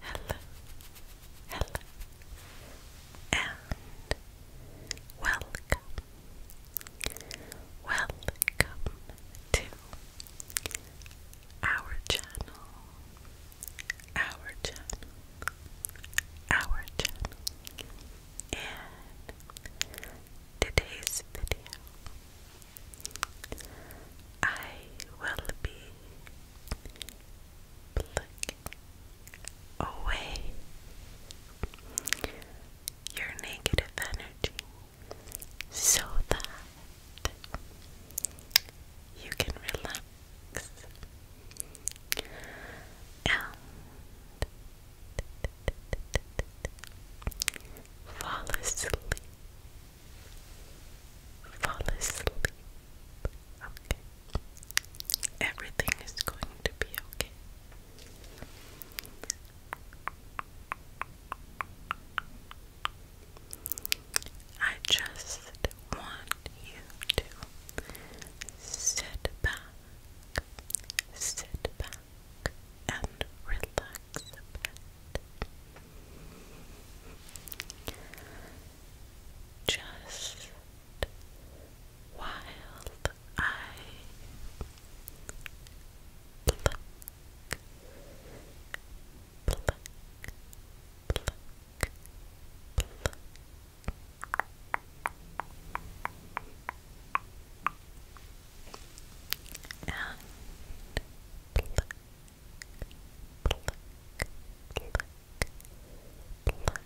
Hello, hello, and welcome, welcome to our channel, our channel, our channel. In today's video, I will be Look away your negative energy so that you can relax and fall asleep fall asleep. Okay. Everything is going to be okay. I just want you to sit back, sit back, and relax a bit. Just wild eye And pluck, pluck, pluck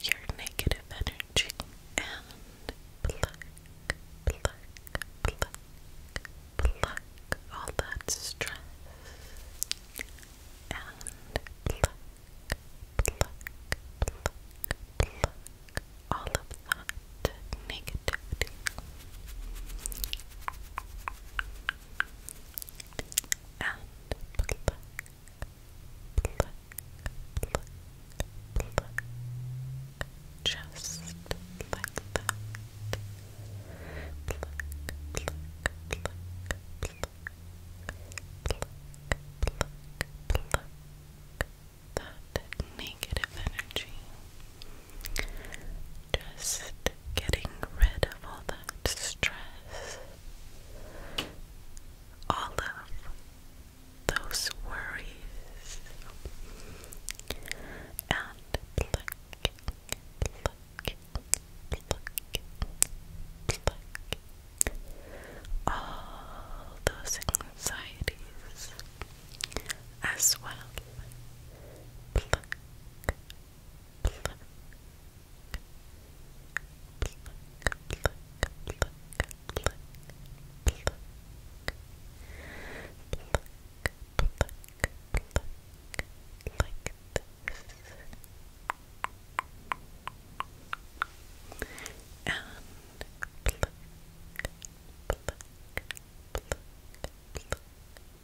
your negative energy and pluck, pluck, pluck, pluck all that stress and pluck, pluck, pluck, pluck all of that negativity and pluck, pluck, pluck, pluck, just like that. Pluck, pluck, pluck, pluck, pluck, pluck, pluck that negative energy just getting rid of all that stress, all of those worries, and plucking, plucking, plucking, plucking all those anxieties as well. And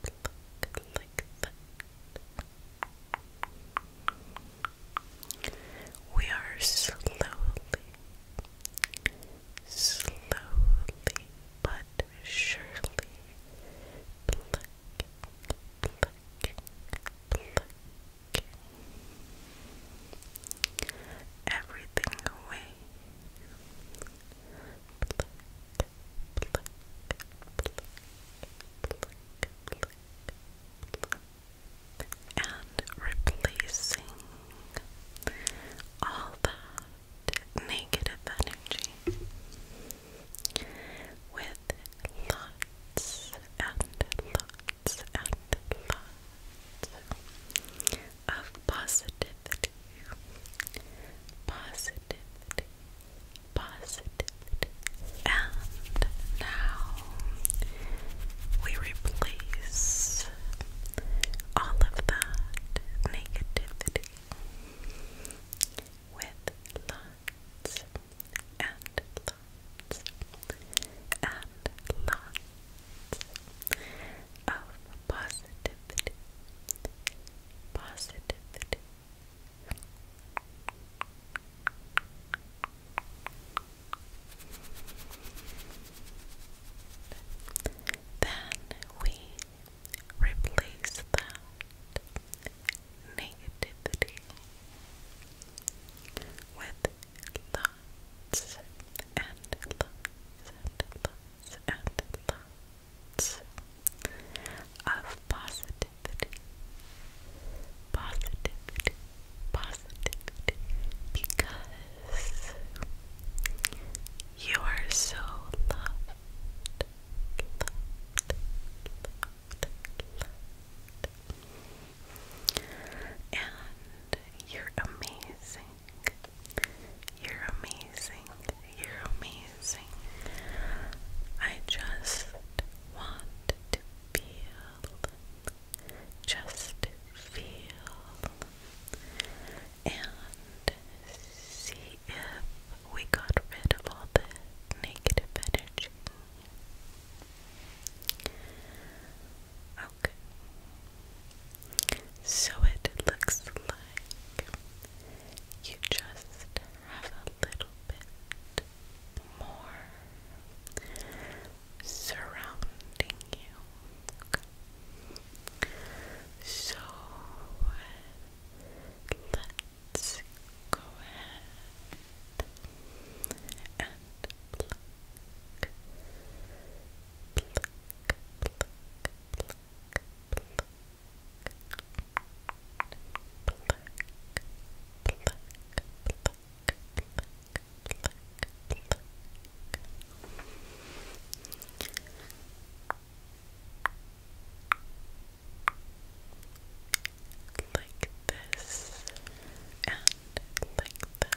pluck We are slowly, slowly but surely plucking, plucking, plucking everything away and replacing all that negative energy with lots and lots and lots of positivity. Positivity. Positivity. And now we replace all of that negativity with lots and lots and lots of positivity. Positivity. Then we replace that negativity with thoughts and thoughts and thoughts of positivity, positivity, positivity, because you are so loved. and you're amazing. You're amazing. You're amazing. I just want to feel. Just feel. And see if we got rid of all the negative energy. So it looks like you just have a little bit more surrounding you. So let's go ahead and pluck pluck, pluck, Like this and like that.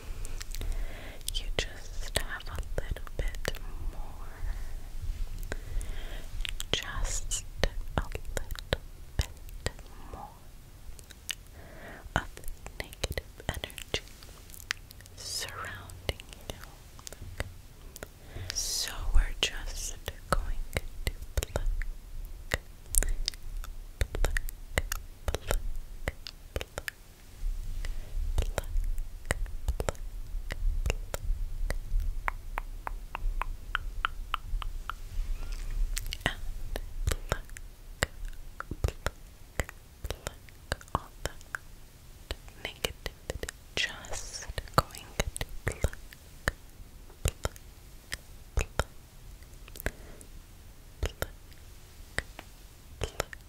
You just have a little bit more. Just a little bit more of negative energy surrounding you. So we're just going to pluck, pluck, pluck, pluck, pluck, pluck, pluck, pluck. And pluck, pluck, pluck all that negativity. Just going to pluck, pluck, pluck, pluck, pluck. Pluck,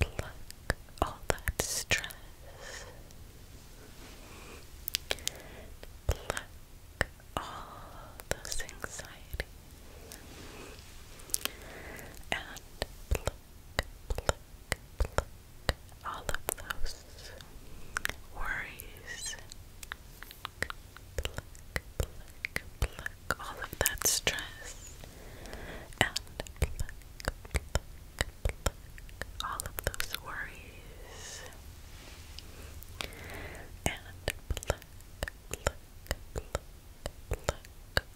Pluck all that stress. Pluck all those anxieties. And pluck, pluck, pluck all of those worries. Pluck, pluck, pluck, pluck all of that stress and all of those worries and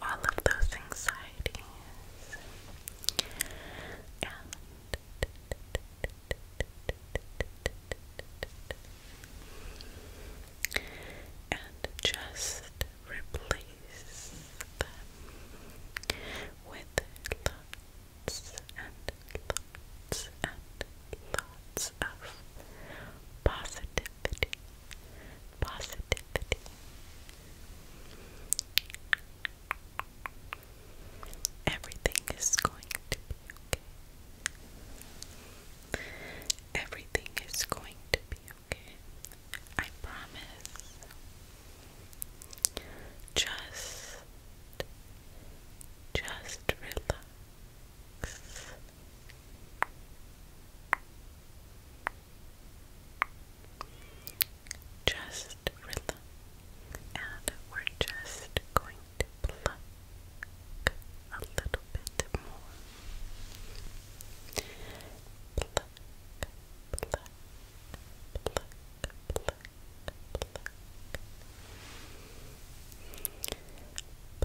all of those anxieties and just replace them with lots and lots and lots of positivity, positivity. Everything is going to be okay. Everything is going to be okay. I promise. Just, just relax. Just relax. And we're just going to pluck, a little bit more. Pluck, pluck, pluck, pluck,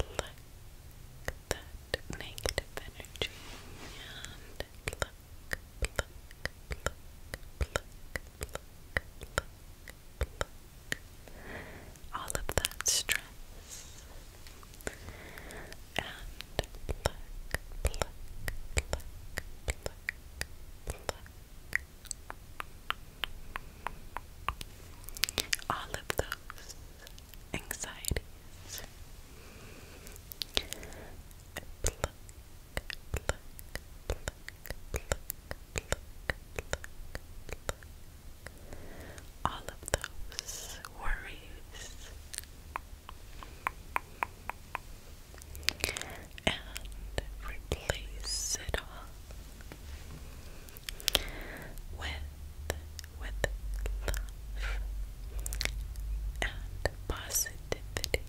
pluck. Pluck that negative energy and pluck, pluck, pluck, pluck, pluck, pluck, pluck all of that stress. And All of those anxieties all of those worries. And replace it all with with love and positivity.